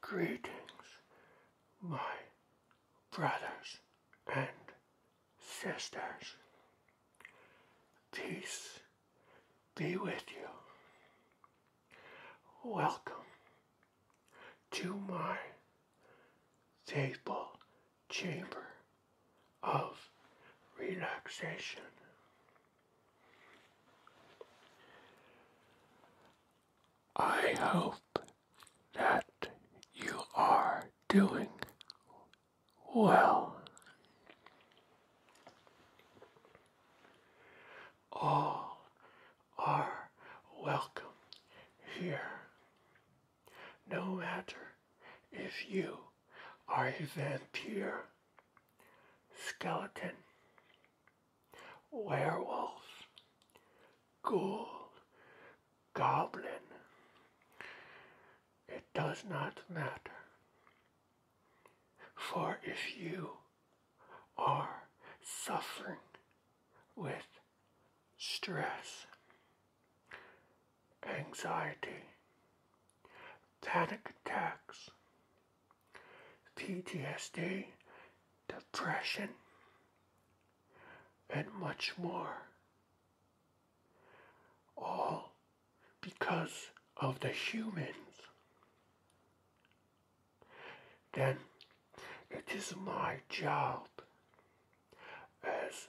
Greetings, my brothers and sisters. Peace be with you. Welcome to my faithful chamber of relaxation. I hope that you are doing well. All are welcome here, no matter if you are a vampire, skeleton, werewolf, ghoul, goblin. It does not matter. For if you are suffering with stress, anxiety, panic attacks, PTSD, depression, and much more. All because of the humans. Then it is my job as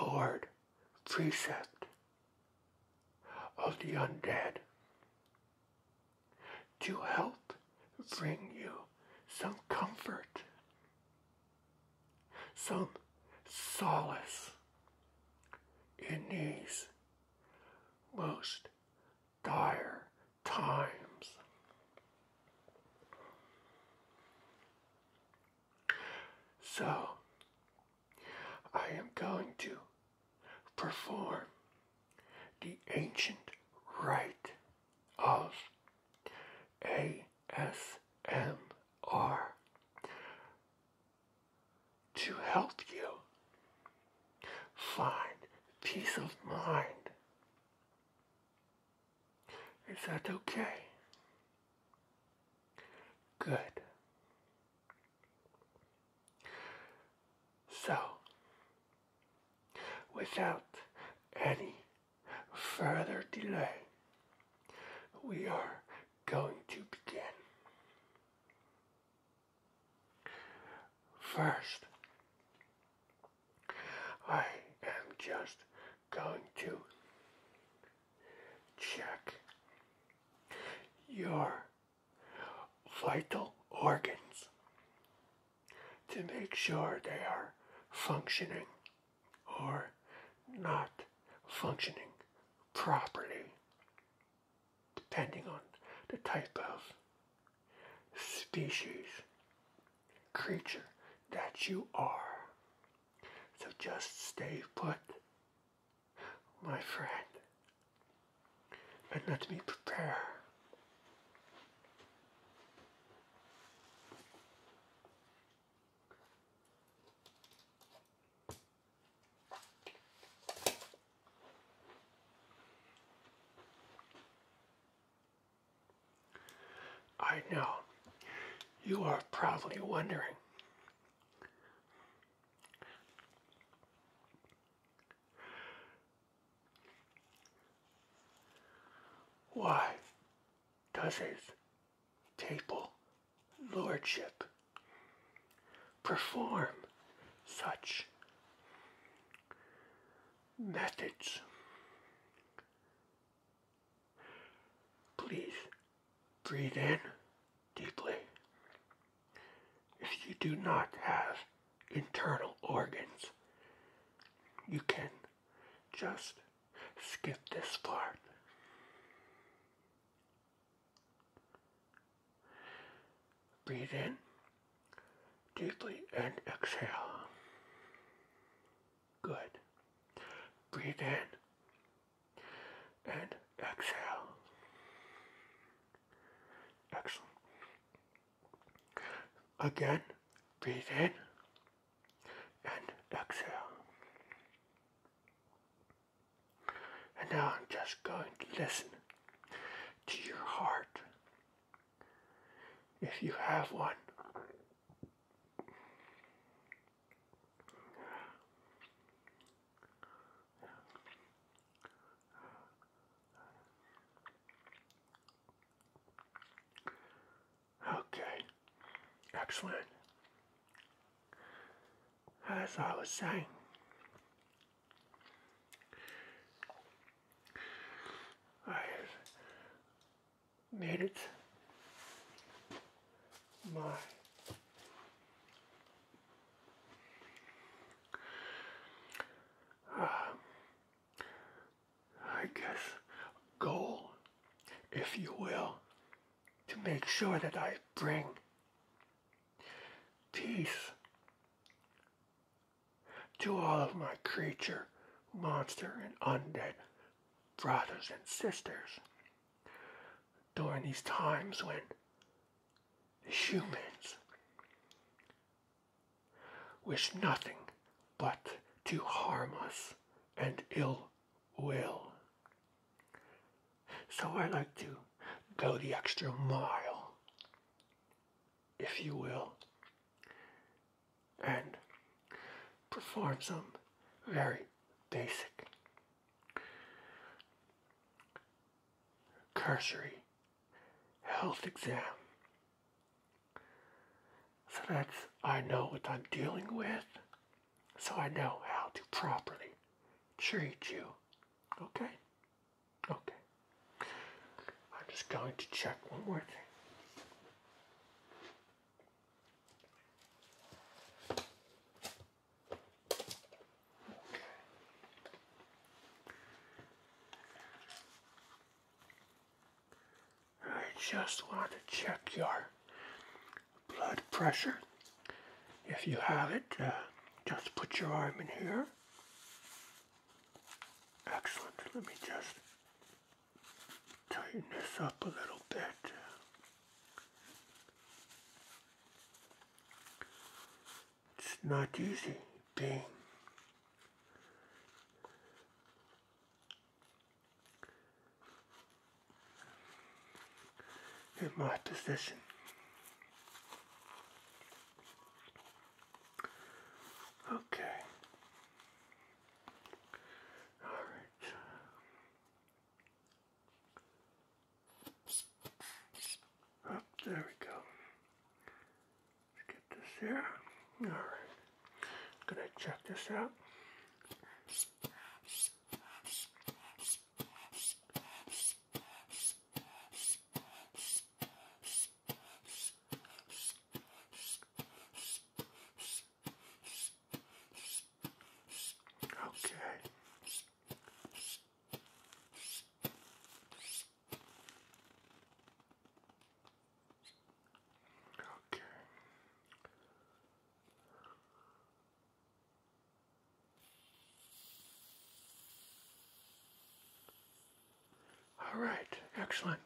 Lord Precept of the Undead to help bring you some comfort, some solace in these most dire times. So, I am going to perform the ancient right of ASMR to help you find peace of mind. Is that okay? Good. So, Without any further delay, we are going to begin. First, I am just going to check your vital organs to make sure they are functioning or not functioning properly, depending on the type of species, creature that you are. So just stay put, my friend. But let me prepare. I know you are probably wondering why does his table lordship perform such methods? Please breathe in deeply if you do not have internal organs, you can just skip this part. Breathe in deeply and exhale. Good. Breathe in and exhale. Excellent. Again, breathe in and exhale. And now I'm just going to listen to your heart. If you have one, Okay, excellent. As I was saying, I needed my uh, I guess, goal, if you will, to make sure that I bring peace to all of my creature, monster, and undead brothers and sisters during these times when humans wish nothing but to harm us and ill will. So I like to go the extra mile, if you will, and perform some very basic cursory health exam so that's, I know what I'm dealing with, so I know how to properly treat you. Okay? Okay. I'm just going to check one more thing. I just want to check your blood pressure. If you have it, uh, just put your arm in here. Excellent. Let me just tighten this up a little bit. It's not easy being in my position. Okay. All right. Up, there we go. Let's get this there. All right. Gonna check this out. Okay. Okay. All right, excellent.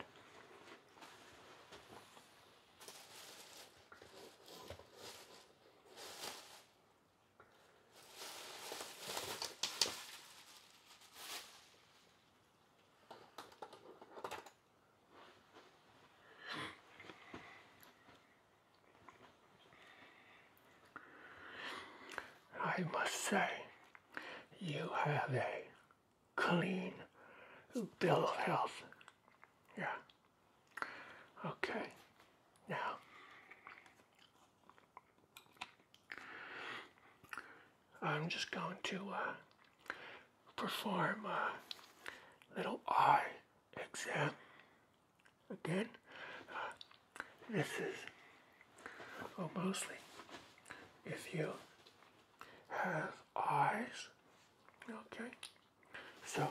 I must say, you have a clean bill of health. Yeah. Okay. Now, I'm just going to uh, perform a little eye exam. Again, uh, this is mostly if you have eyes, okay? So,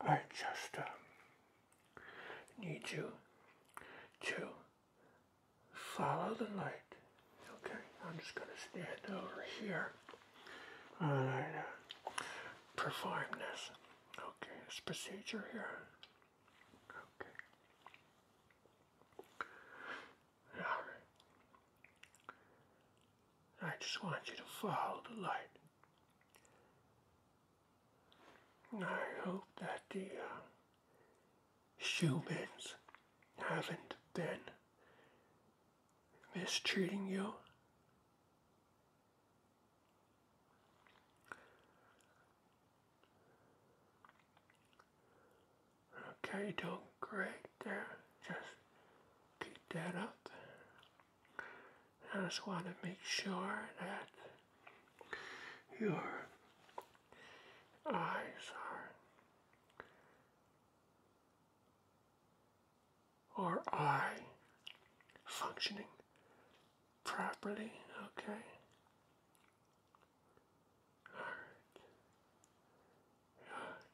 I just um, need you to Follow the light. Okay, I'm just going to stand over here. Alright, uh, perform this. Okay, this procedure here. Okay. Alright. I just want you to follow the light. I hope that the uh, humans haven't been mistreating you. Okay, doing great there. Just keep that up. I just want to make sure that your eyes are are I functioning properly, okay? Alright.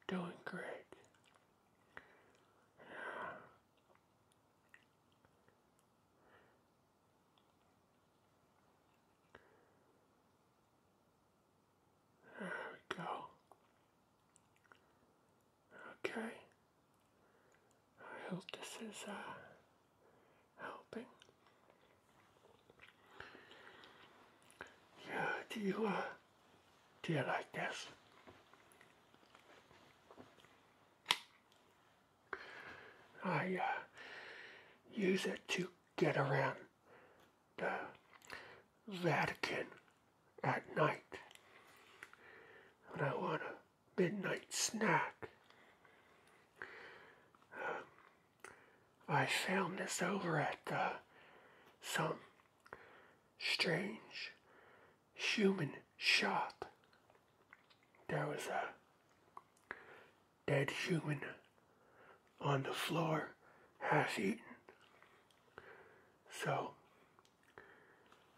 You're doing great. Yeah. There we go. Okay. I hope this is uh, helping. Yeah, do you, uh, do you like this? I uh, use it to get around the Vatican at night and I want a midnight snack. Um, I found this over at uh, some strange human shop. There was a dead human on the floor has eaten. So,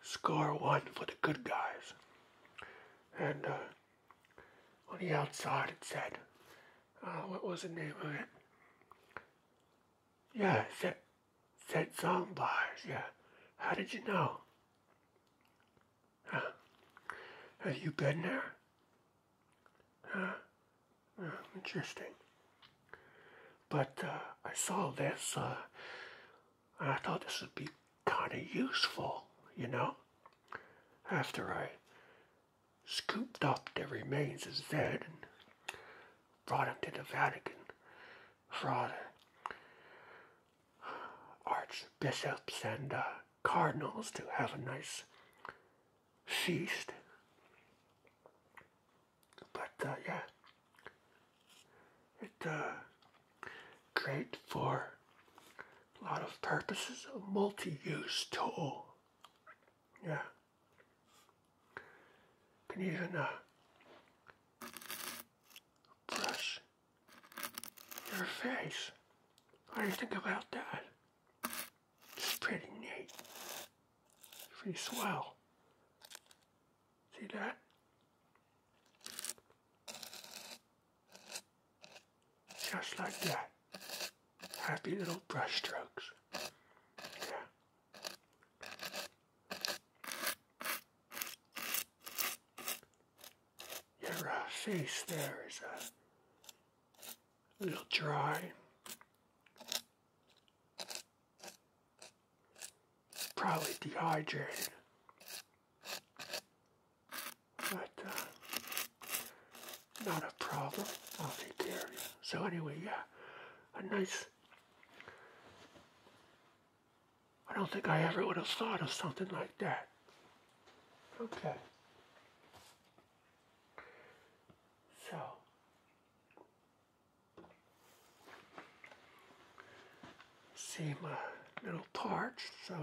score one for the good guys. And uh, on the outside it said, uh, what was the name of it? Yeah, said, said, said bars. yeah. How did you know? Have you been there? interesting. But uh, I saw this, uh, I thought this would be kind of useful, you know? After I scooped up the remains of dead and brought him to the Vatican for the archbishops and uh, cardinals to have a nice feast. But uh, yeah, it's uh, great for a lot of purposes, a multi-use tool. Yeah, can even uh, brush your face. What do you think about that? It's pretty neat. Pretty swell. See that? Just like that. Happy little brush strokes. Your uh, face there is uh, a little dry. Probably dehydrated. But uh, not a problem. I'll take care of you. So anyway, yeah, a nice I don't think I ever would have thought of something like that. Okay. So, see my little torch, so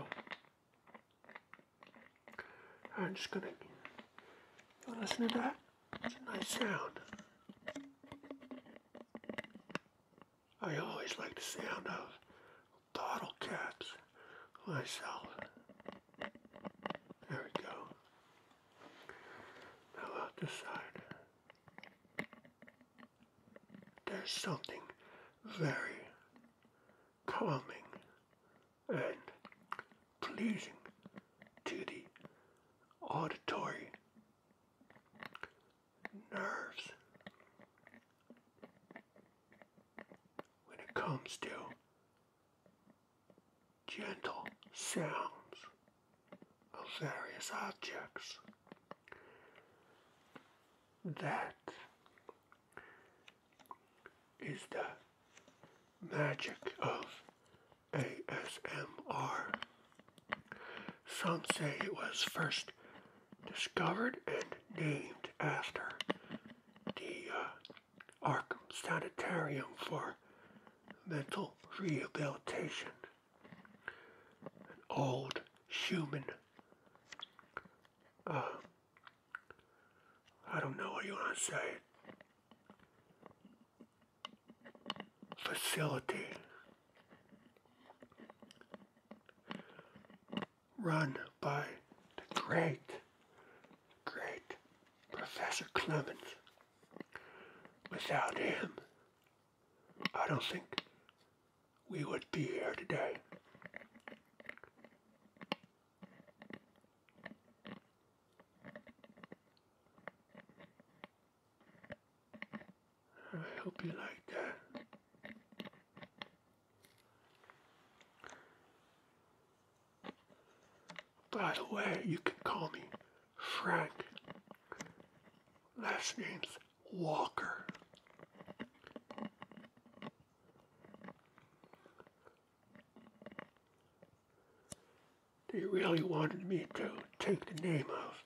I'm just gonna listen to that. It's a nice sound. I always like the sound of bottle caps myself. There we go. Now out this side. There's something very calming and pleasing to the auditory nerves when it comes to gentle sounds of various objects that is the magic of ASMR. Some say it was first discovered and named after the uh, Arkham Sanitarium for mental rehabilitation. An old human. Uh, I don't know what you want to say. Facility run by the great, great Professor Clemens. Without him, I don't think we would be here today. I hope you like that. By the way, you can call me Frank. Last name's Walker. They really wanted me to take the name of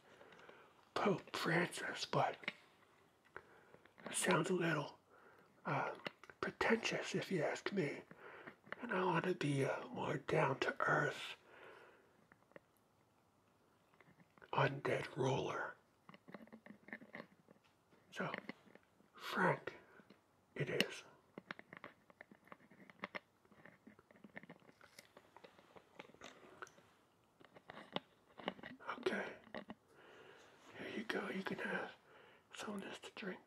Pope Francis, but it sounds a little uh, pretentious, if you ask me. And I want to be uh, more down to earth. Undead ruler. So, Frank, it is. Okay. Here you go. You can have someone has to drink.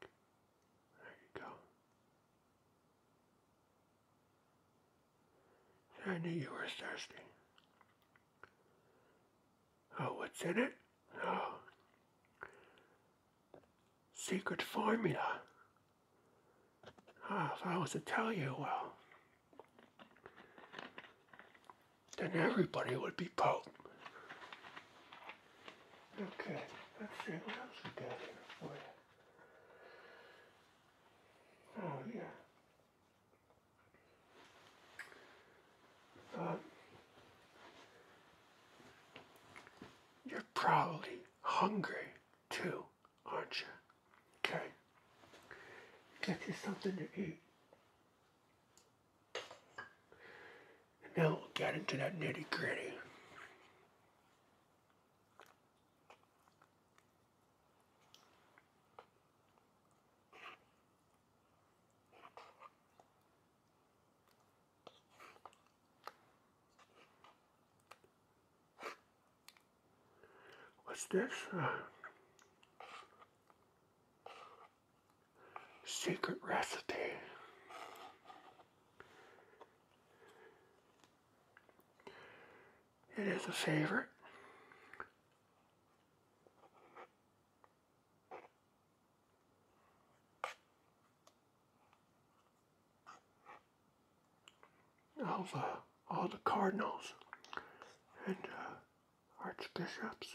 There you go. I knew you were thirsty. Oh, what's in it? Oh. Secret formula. Ah, if I was to tell you, well then everybody would be Pope. Okay, let's see what else we got here for you. Oh, yeah. Um, you're probably hungry too, aren't you? Okay. Get you something to eat. And now we'll get into that nitty gritty. What's this? Uh, secret recipe. It is a favorite. Of uh, all the cardinals and uh, archbishops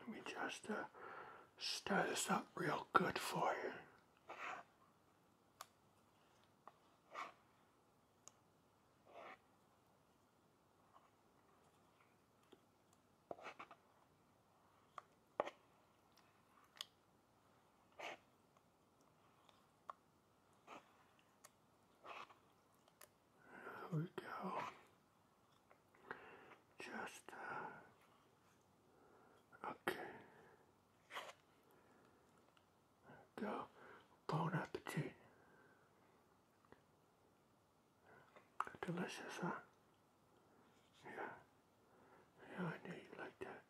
Let me just uh, stir this up real good for you. There we go. Just, uh, okay. There we go. Bon appetit. Delicious, huh? Yeah. Yeah, I knew you liked that.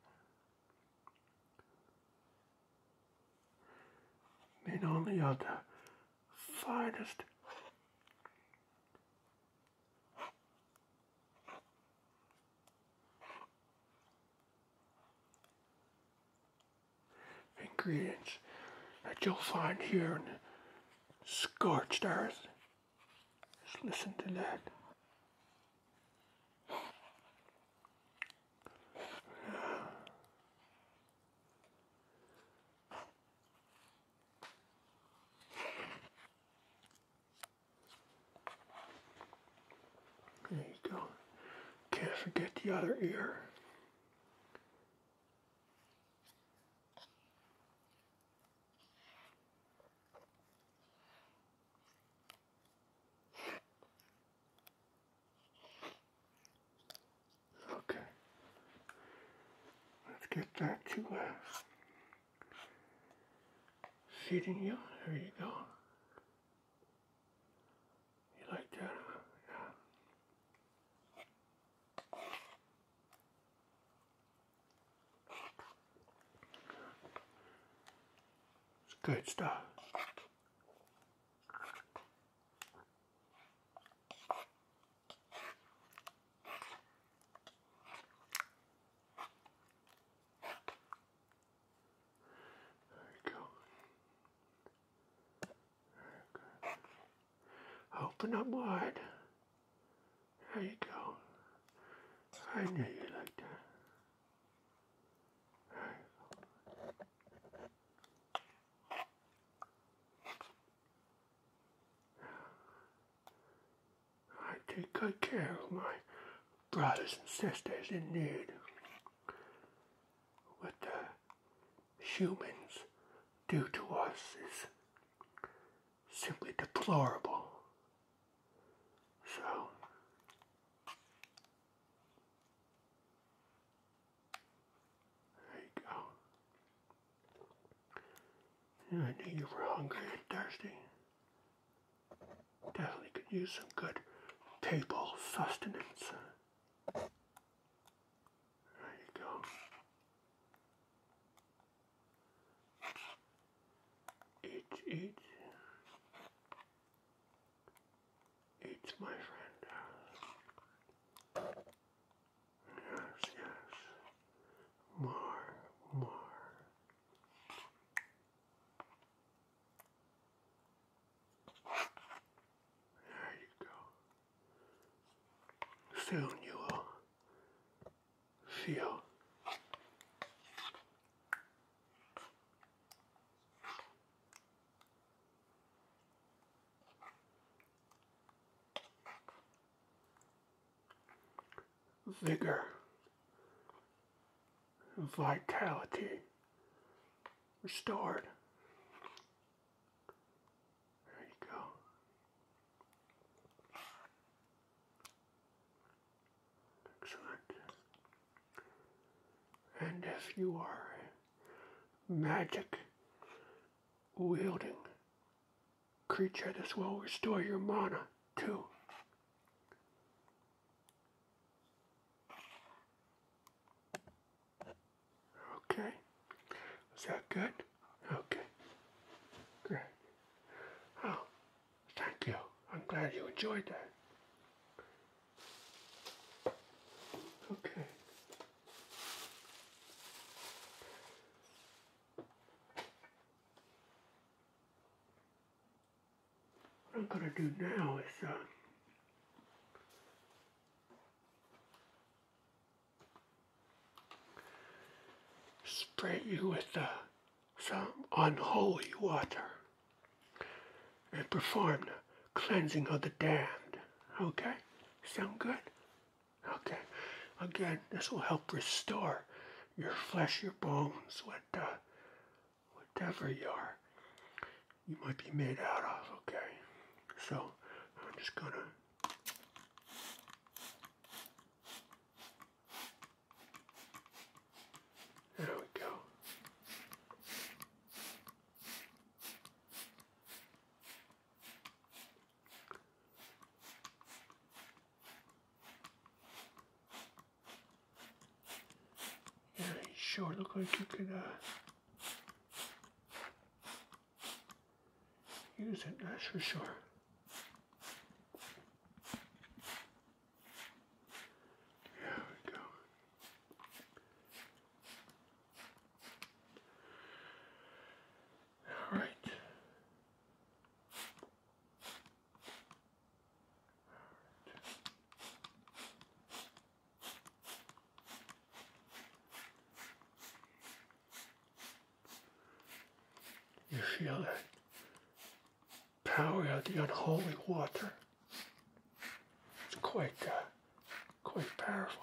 I only other finest. Ingredients that you'll find here in the scorched earth. Just listen to that. There you go. Can't forget the other ear. Okay. Let's get that to uh, seating you. There you go. You like that? Huh? Yeah. It's good stuff. There you go. Very good. Open up wide. There you go. I knew you liked that. There you go. I take good care of my brothers and sisters in need what the humans do to us is simply deplorable. So, there you go. I knew you were hungry and thirsty. Definitely could use some good table sustenance. There you go. Eat, eat. Eat, my friend. Yes, yes. More, more. There you go. Soon you will feel vigor, vitality restored. There you go. Excellent. And if you are magic wielding creature. This will restore your mana, too. Okay. Is that good? Okay. Great. Oh, thank you. I'm glad you enjoyed that. Okay. What I'm going to do now is uh, spray you with uh, some unholy water and perform the cleansing of the damned. Okay? Sound good? Okay, again, this will help restore your flesh, your bones, what, uh, whatever you are, you might be made out of. Okay, so I'm just gonna. There we go. Yeah, sure look like you could uh, use it, that's for sure. There we go. All right. You feel the power of the unholy water. It's quite, uh, quite powerful.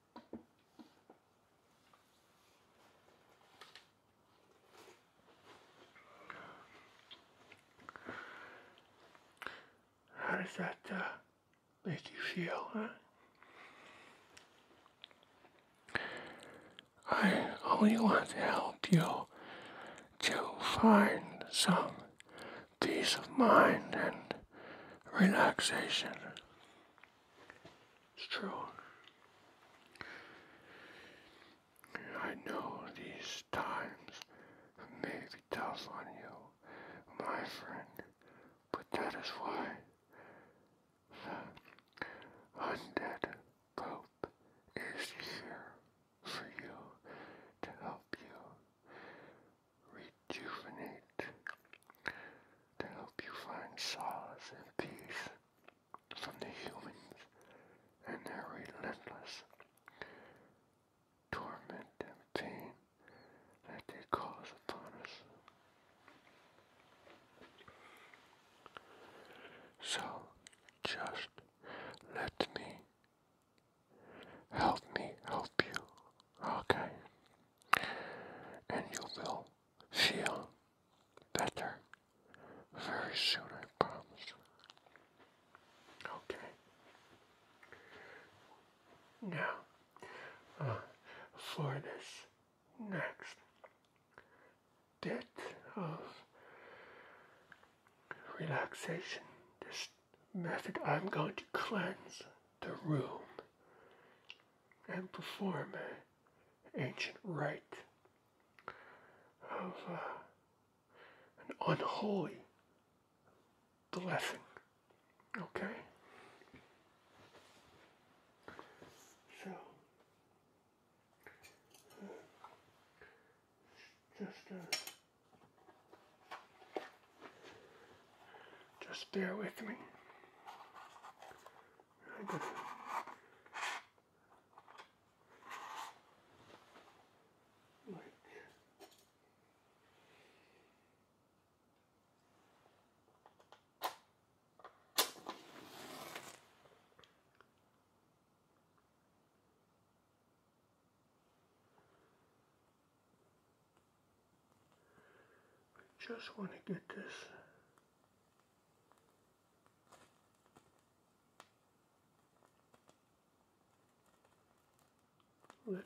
How does that uh, make you feel, I only want to help you to find some peace of mind and relaxation. It's true. I know these times may be tough on you, my friend, but that is why the undead Pope is here for you to help you rejuvenate, to help you find solace and peace from the humans and their relentless torment and pain that they cause upon us. So, just let me help me help you Okay. And you will feel better very soon, I promise. Okay. Now, uh, for this next bit of relaxation, this method I'm going to cleanse the room and perform an ancient rite of uh, an unholy blessing. Okay? So, uh, just uh, just bear with me. I I just want to get this lit.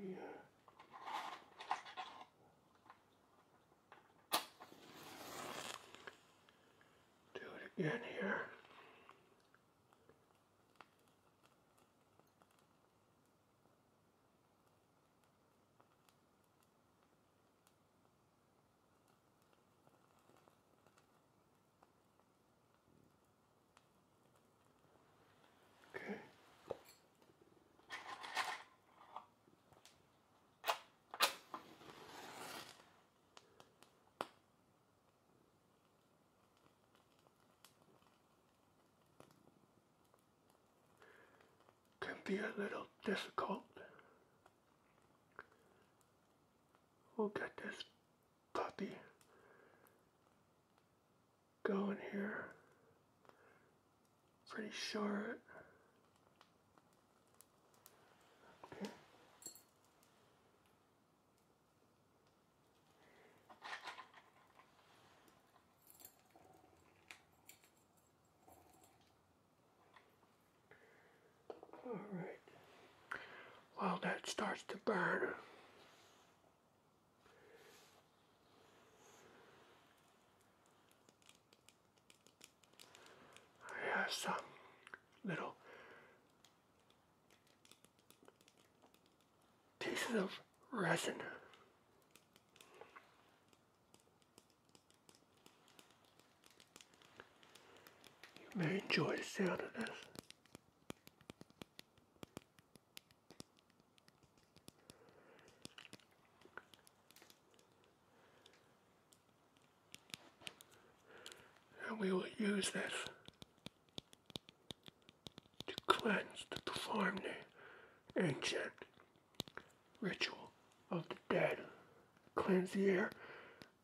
Yeah. Do it again here. Okay. Can be a little difficult. We'll get this puppy going here. Pretty short. Okay. Alright. While that starts to burn, I have some little pieces of resin. You may enjoy the sound of this. And we will use this to cleanse, the perform ancient ritual of the dead. Cleanse the air,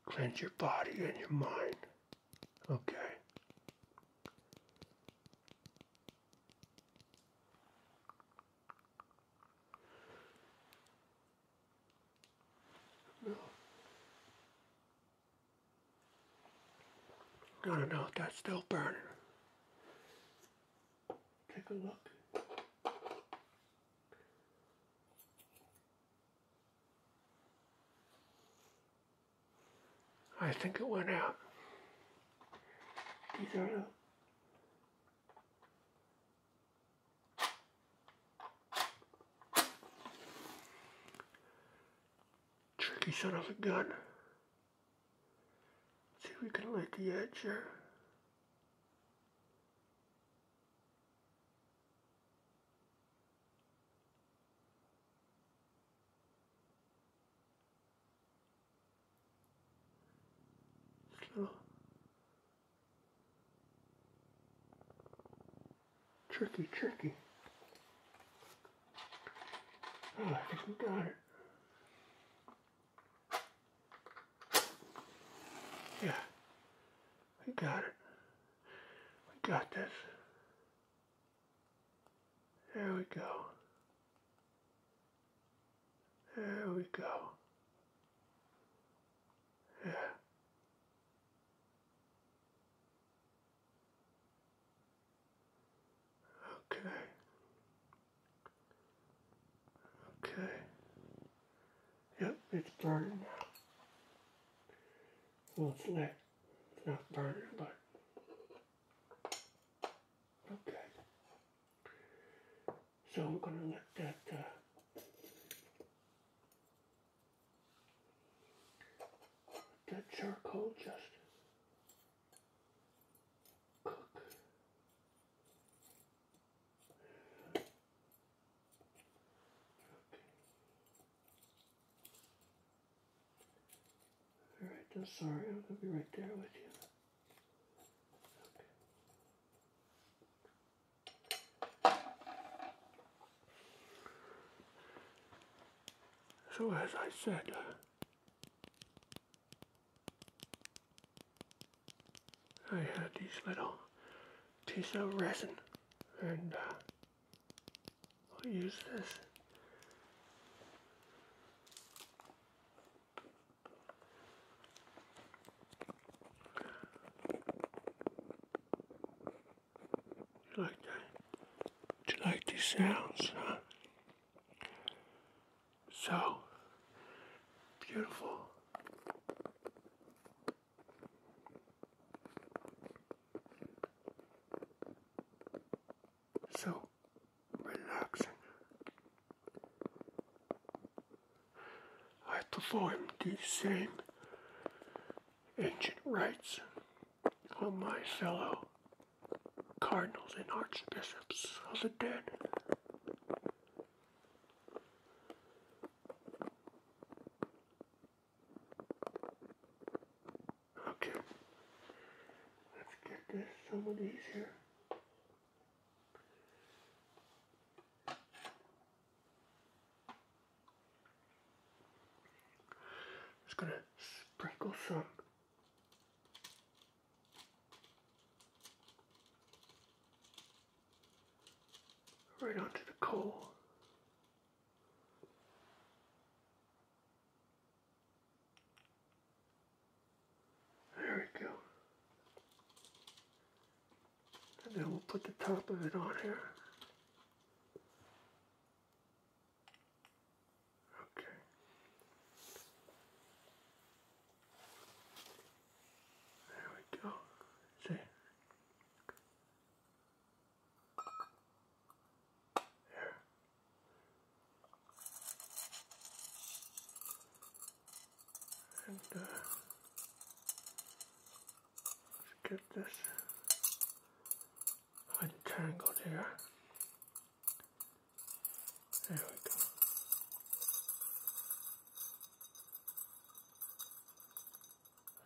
cleanse your body and your mind. Okay. I don't know if that's still burning. Take a look. I think it went out. Tricky son of a gun. see if we can light the edge here tricky, tricky. Oh, I think we got it. Yeah, we got it. We got this. There we go. There we go. Yeah. Okay. Okay. Yep, it's burning Well, it's not. It's not burning, but... Okay. So I'm going to let that... Uh, let that charcoal just cook. Alright, I'm sorry, I'm gonna be right there with you. So as I said, uh, I had these little piece of resin and uh, I'll use this. you like that? Do you like these sounds, So beautiful. So relaxing. I perform these same ancient rites on my fellow cardinals and archbishops of the dead. Okay. Let's get this, some of these here. Just gonna sprinkle some. Right onto the coal. There we go. And then we'll put the top of it on here. Okay. There we go. See? There. And let's get this untangled here. There we go.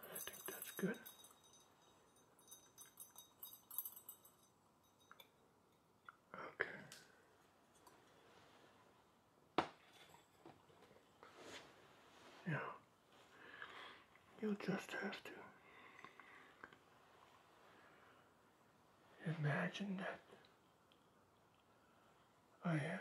I think that's good. Okay. Yeah. You just have to imagine that I am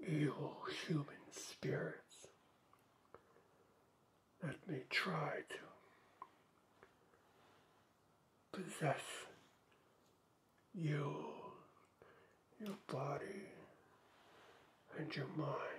evil human spirits Let me try to possess you, your body, and your mind.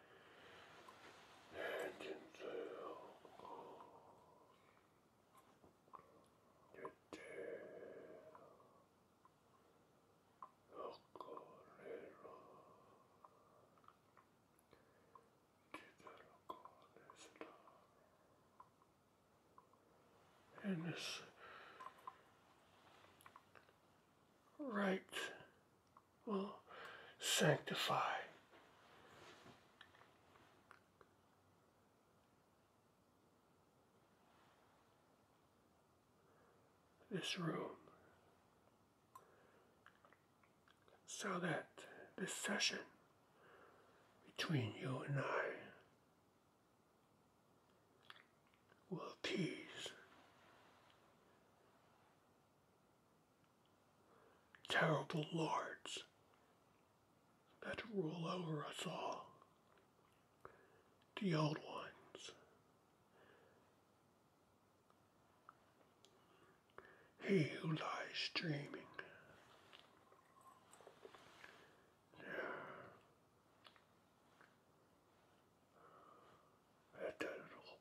and until right will sanctify. This room so that this session between you and I will appease terrible lords that rule over us all. The old ones. He who lies dreaming. Yeah. That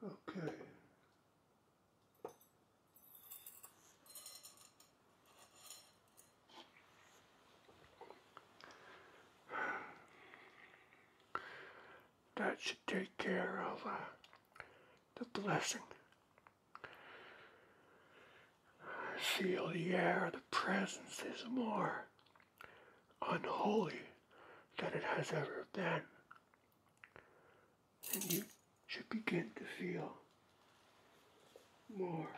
Okay. That should take care of uh, the blessing. Feel the air, the presence is more unholy than it has ever been. And you should begin to feel more.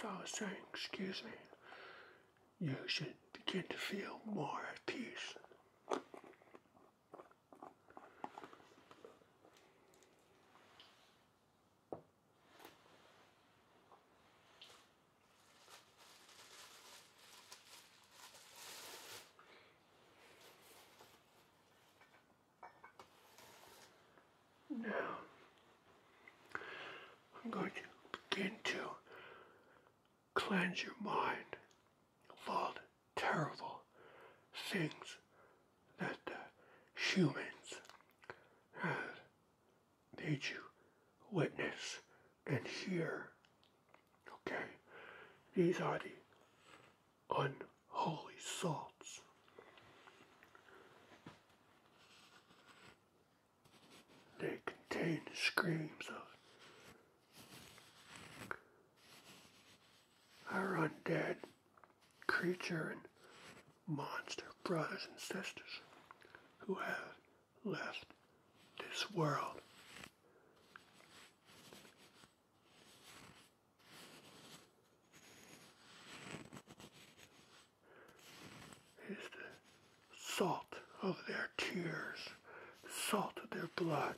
So I was saying, excuse me, you should begin to feel more at peace. Now, I'm going to begin to cleanse your mind of all terrible things that humans have made you witness and hear. Okay? These are the unholy salts. They contain the screams of our undead creature and monster brothers and sisters who have left this world is the salt of their tears, the salt of their blood.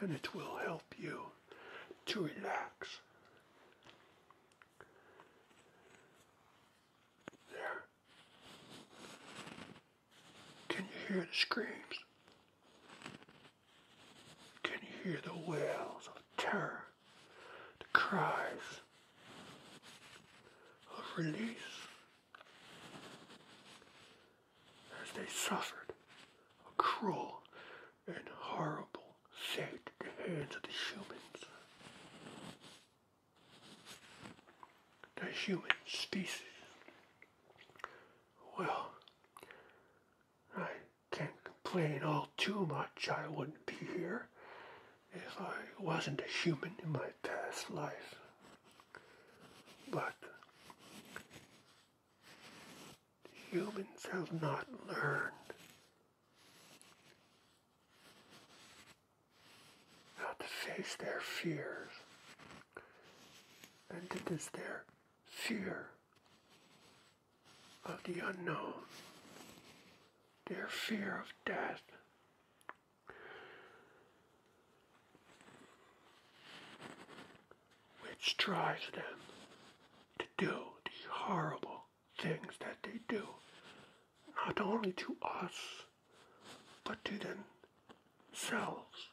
And it will help you to relax. There. Can you hear the screams? Can you hear the wails of terror? The cries of release as they suffered a cruel and horrible fate at the hands of the humans the human species. Well, I can't complain all too much. I wouldn't be here if I wasn't a human in my past life. But humans have not learned how to face their fears. And it is their fear of the unknown, their fear of death. Which drives them to do the horrible things that they do, not only to us, but to themselves.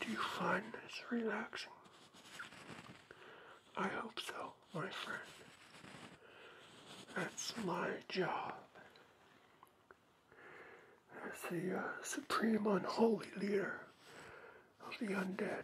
Do you find this relaxing? I hope so, my friend. That's my job as the uh, supreme unholy leader of the undead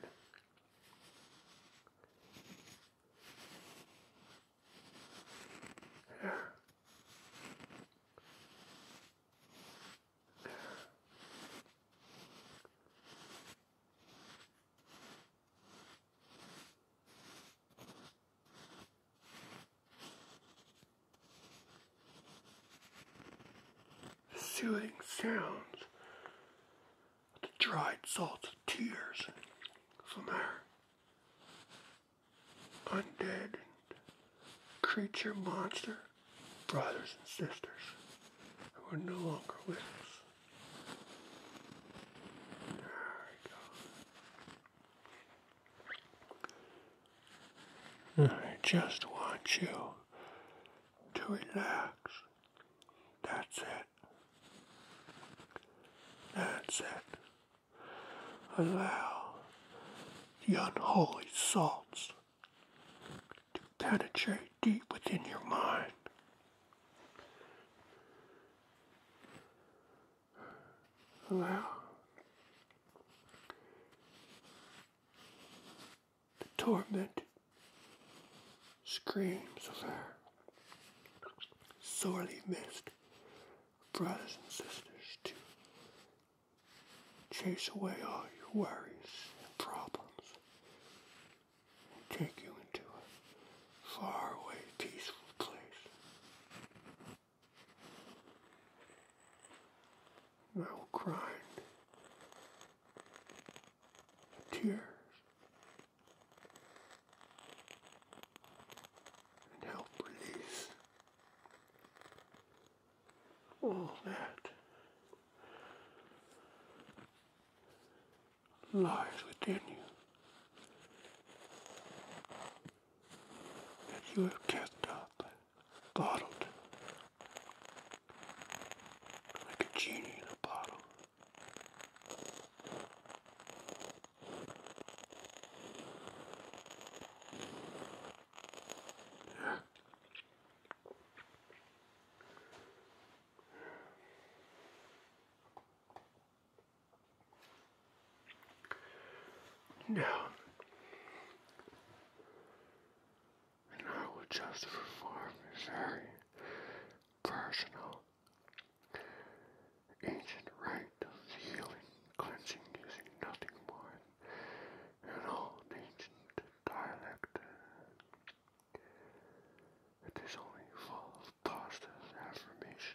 soothing sounds of the dried salt of tears from our undead creature monster brothers and sisters who are no longer with us. There we go. I just want you to relax. That's it. That's it. Allow the unholy salts to penetrate deep within your mind allow the torment screams of their sorely missed brothers and sisters to chase away all your worries and problems and take you into a faraway peaceful place. I will cry tears and help release all that lies within you that you have kept up bottled like a genie in a bottle. Yeah. No, and I will just perform this very personal ancient rite of healing, cleansing using nothing more than an old ancient dialect. It is only full of positive affirmations.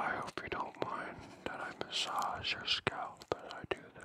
I hope you don't mind that I massage your scalp as I do this.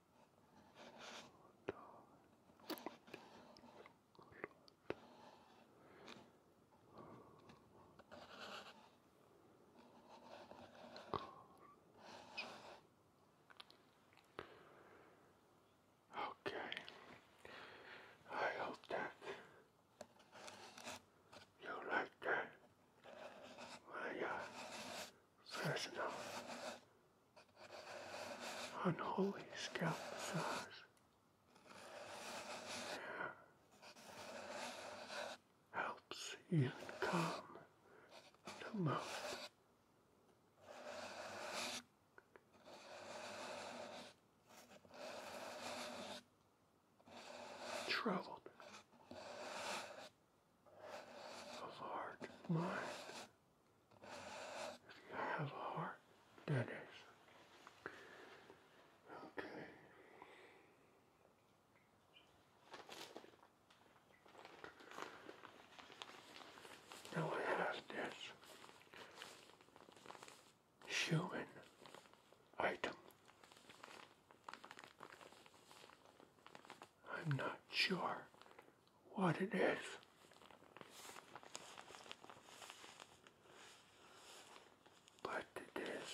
Okay, I hope that you like that. My uh, Fresno. Unholy scalp massage. Yeah. Helps you calm the most. Troubled of heart and mind. If you have a heart, that is. Okay. Now I have this human item. I'm not sure what it is. But it is.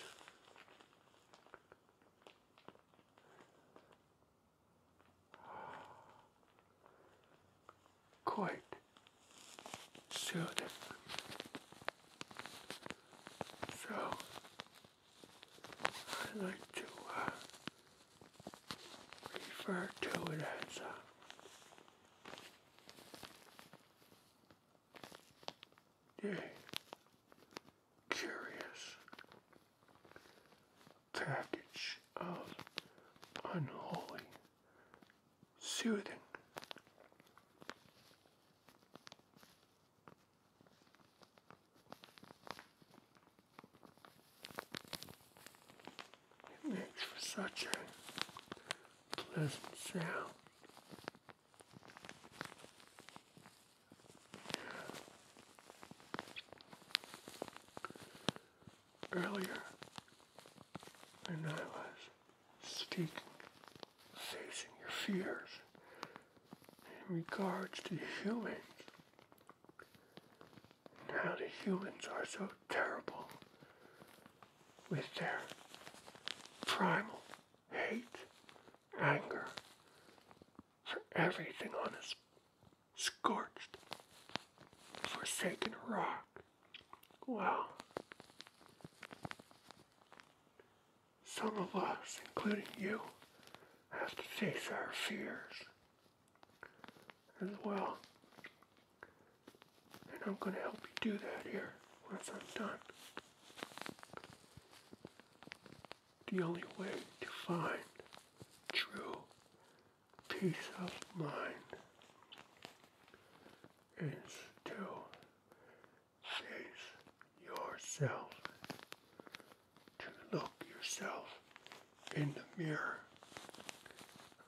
Quite soothing. So, I like to uh, refer to it as a curious package of unholy soothing. It makes for such a pleasant sound. Earlier, when I was speaking, facing your fears in regards to humans now the humans are so terrible with their primal hate, anger for everything on this scorched, forsaken rock. Well, Some of us, including you, have to face our fears as well. And I'm going to help you do that here once I'm done. The only way to find true peace of mind is to face yourself to look yourself in the mirror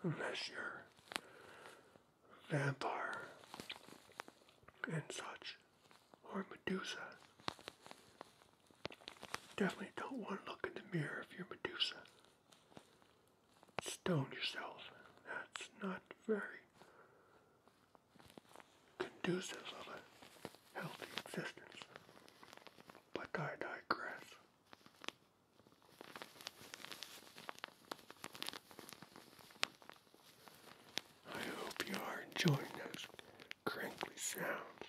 unless you're vampire and such or Medusa. Definitely don't want to look in the mirror if you're Medusa. Stone yourself. That's not very conducive to a healthy existence but I digress. I hope you are enjoying those crinkly sounds.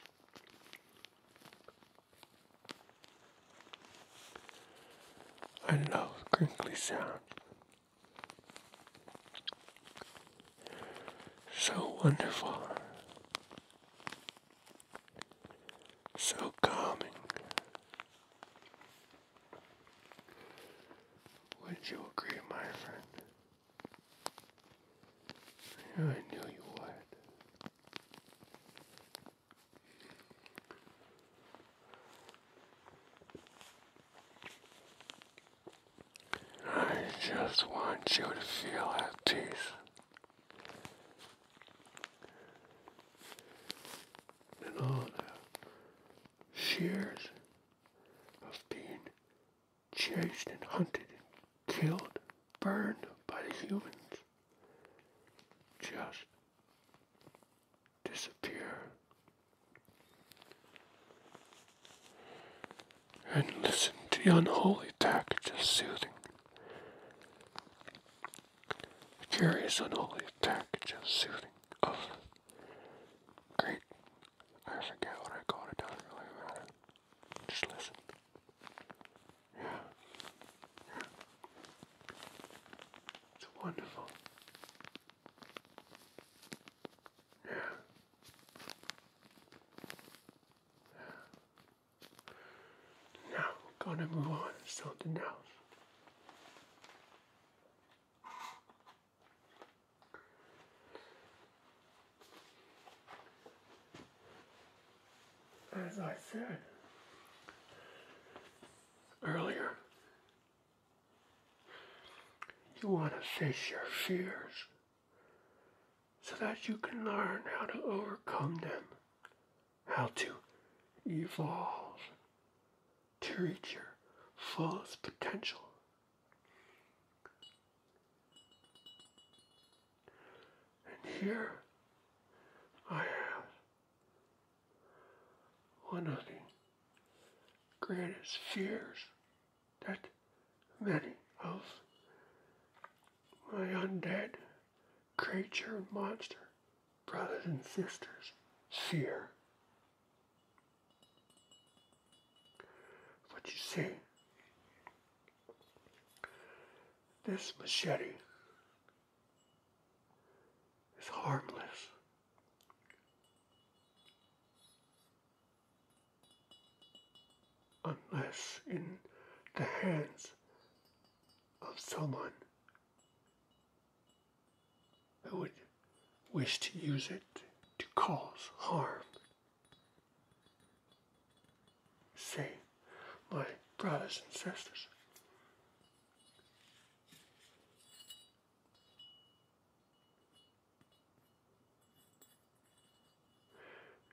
I love crinkly sounds. So wonderful. So calming. Would you agree, my friend? I knew you would. I just want you to feel at peace and all the shears of being chased and hunted and killed, burned by the humans, just disappear and listen to the unholy tactics soothing. Curious unholy tactics soothing of oh, great. I forget what I called it. Doesn't really matter. Just listen. Yeah. It's wonderful. Yeah. Now, we're gonna move on to something else. As I said earlier, you want to face your fears so that you can learn how to overcome them, how to evolve to reach your fullest potential. And here I have one of the greatest fears that many of my undead creature and monster brothers and sisters fear. But you see, this machete is harmless unless in the hands of someone who would wish to use it to cause harm. See, my brothers and sisters,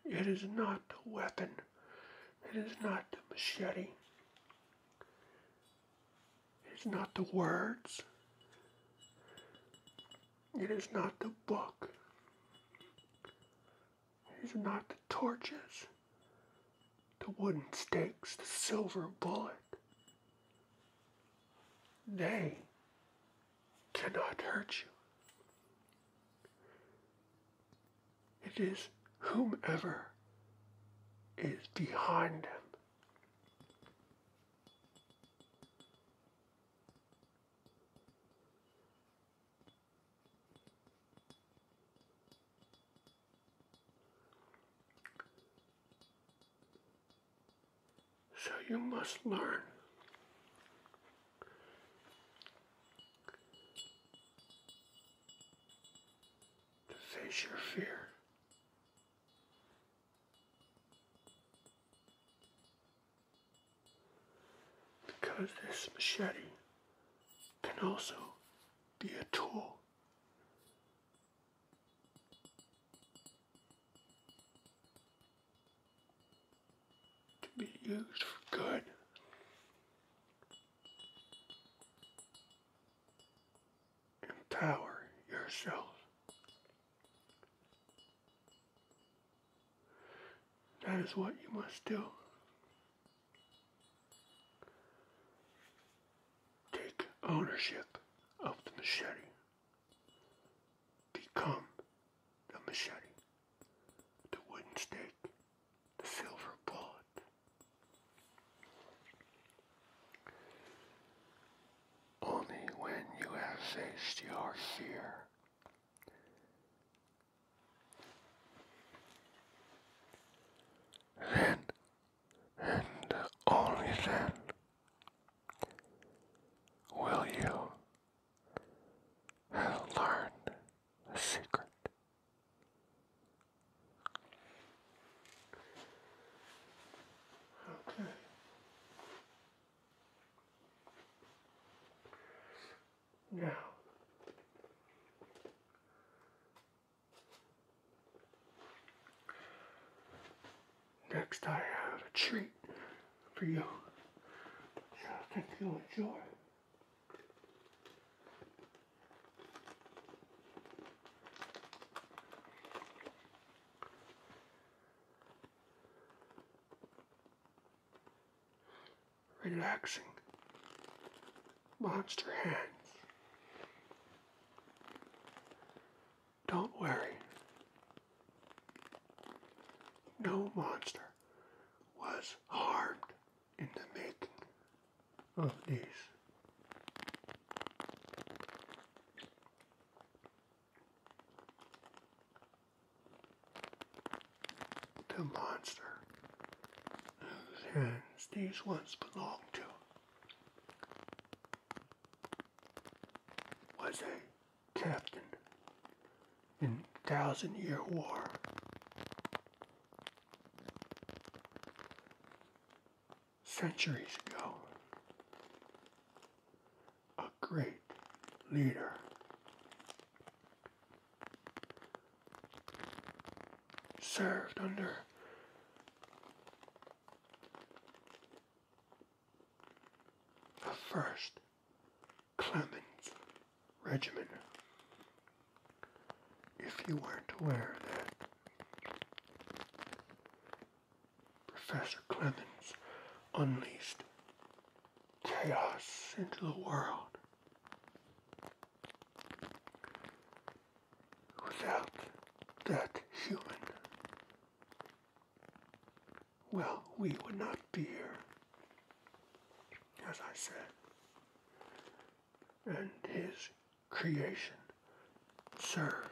it is not the weapon. It is not the machete. It is not the words. It is not the book. It is not the torches, the wooden stakes, the silver bullet. They cannot hurt you. It is whomever is behind him. So you must learn to face your fear. Because this machete can also be a tool. To be used for good. Empower yourself. That is what you must do. Take ownership of the machete. Become the machete the wooden stick, the silver bullet. Only when you have faced your fear then and only then will you learn a secret. Okay. Now, next I have a treat for you. I think you'll enjoy relaxing monster hands. Don't worry, no monster was harmed in the making of these. The monster whose hands these once belonged to was a captain in Thousand Year War. Centuries ago, a great leader served under the first Clemens regiment. If you weren't aware that Professor Clemens unleashed chaos into the world without that human, well, we would not be here as I said, and his creation served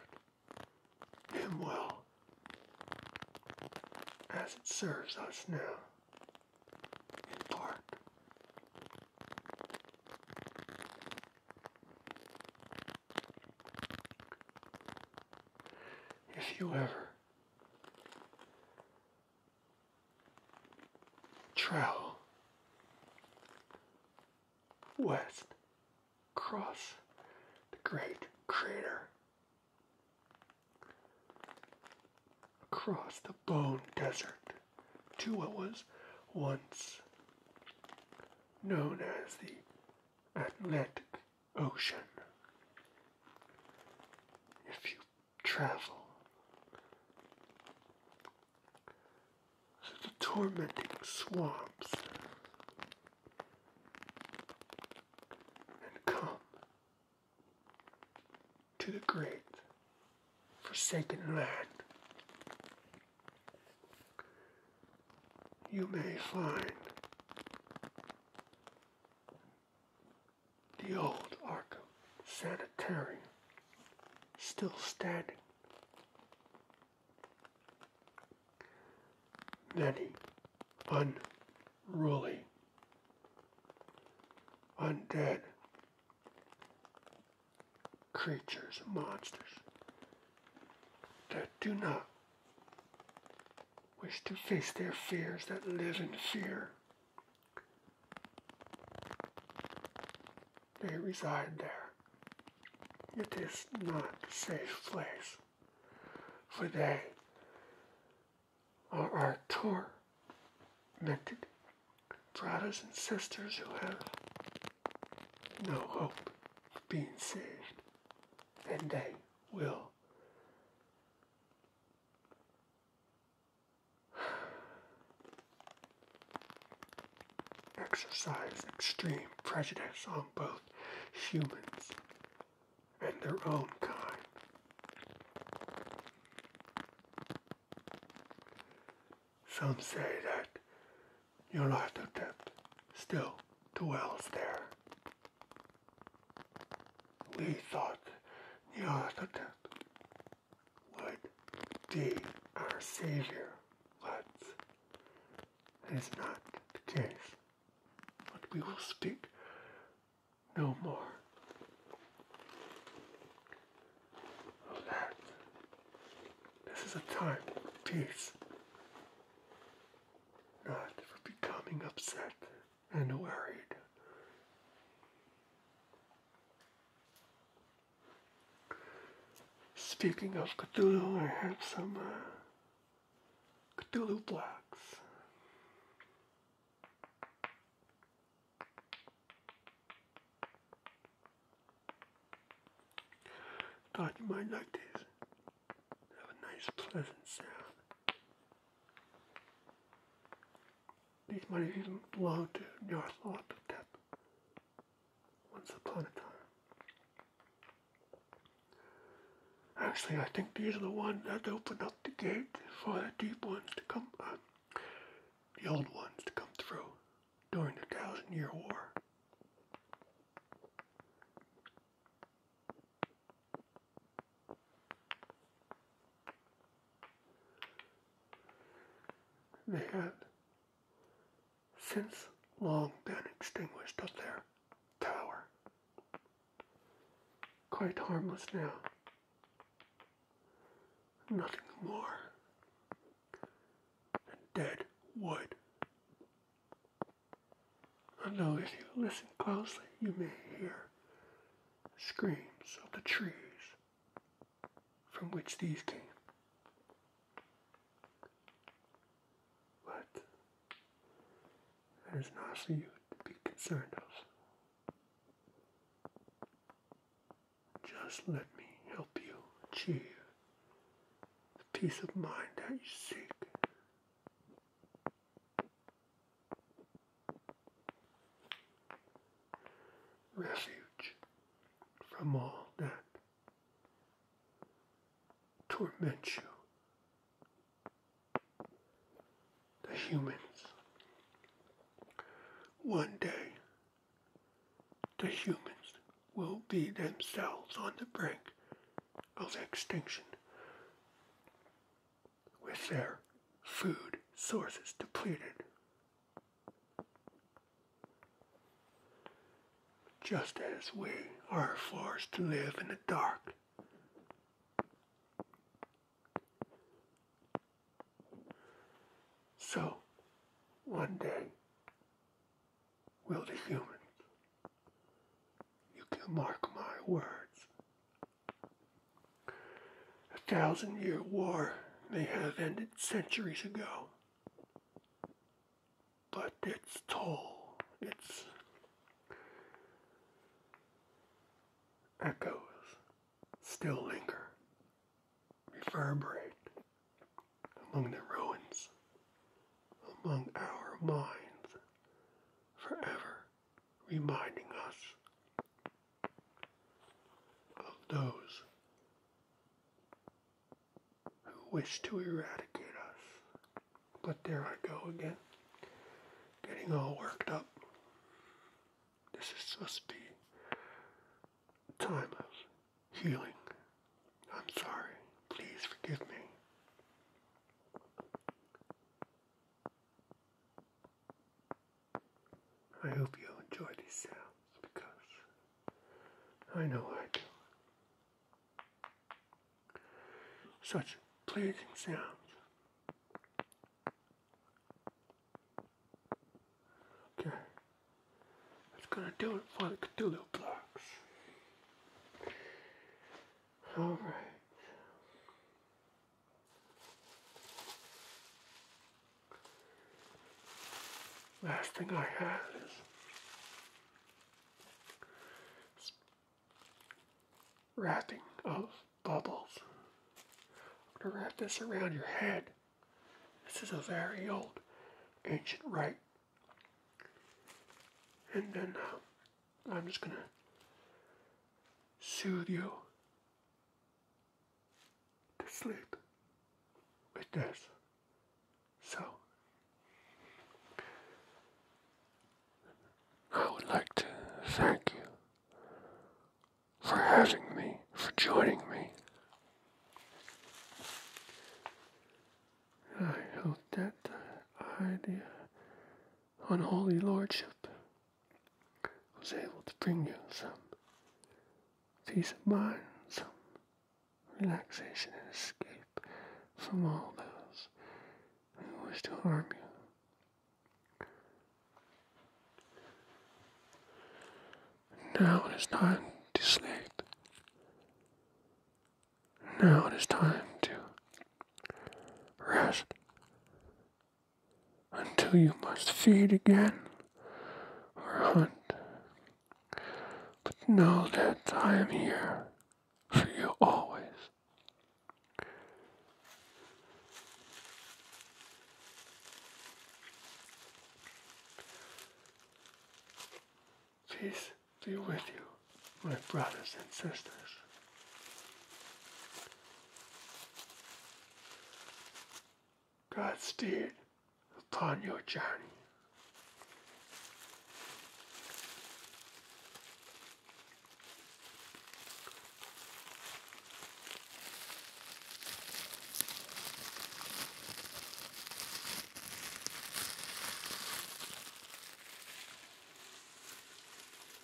him well as it serves us now in part. If you ever Trail west across the great crater across the bone desert to what was once known as the Atlantic Ocean. If you travel. The tormenting swamps and come to the great forsaken land. You may find the old Arkham Sanitarium still standing. Many unruly, undead creatures, monsters that do not wish to face their fears, that live in fear they reside there. It is not a safe place, for they are our tormented brothers and sisters who have no hope of being saved, and they will exercise extreme prejudice on both humans and their own kind. Some say that your Nyarlathotep still dwells there. We thought your Nyarlathotep would be our Savior once. is not the case. But we will speak no more of that. This is a time of peace, not for becoming upset and worried. Speaking of Cthulhu, I have some uh, Cthulhu blocks. Thought you might like these. Have a nice pleasant sound. These monuments belong to Nyarlathotep once upon a time. Actually, I think these are the ones that opened up the gate for the deep ones to come, uh, the old ones to come through during the Thousand Year War. They had since long been extinguished up there tower. Quite harmless now. Nothing more than dead wood. I know if you listen closely, you may hear screams of the trees from which these came. But there is nothing you to be concerned of. Just let me help you achieve the peace of mind that you seek refuge from all that torments you. The humans. One day, the humans will be themselves on the brink of extinction with their food sources depleted. Just as we are forced to live in the dark. So, one day, will the humans, you can mark my words, a thousand year war may have ended centuries ago, but its toll, its echoes still linger, reverberate among the ruins, among our minds, forever reminding us of those who wish to eradicate us. But there I go again, getting all worked up. This is just the time of healing. I'm sorry. Please forgive me. I hope you enjoy these sounds because I know I do. Such pleasing sounds. Okay, that's gonna do it for the Cthulhu blocks. Alright. Last thing I have is wrapping of bubbles. I'm gonna wrap this around your head. This is a very old ancient rite. And then uh, I'm just gonna soothe you to sleep with this. So, I would like to thank you for having me, for joining me. I hope that idea, the unholy lordship was able to bring you some peace of mind, some relaxation and escape from all those who wish to harm you. Now it is time to sleep. Now it is time to rest until you must feed again or hunt. But know that I am here for you always. Peace be with you, my brothers and sisters. God Godspeed upon your journey.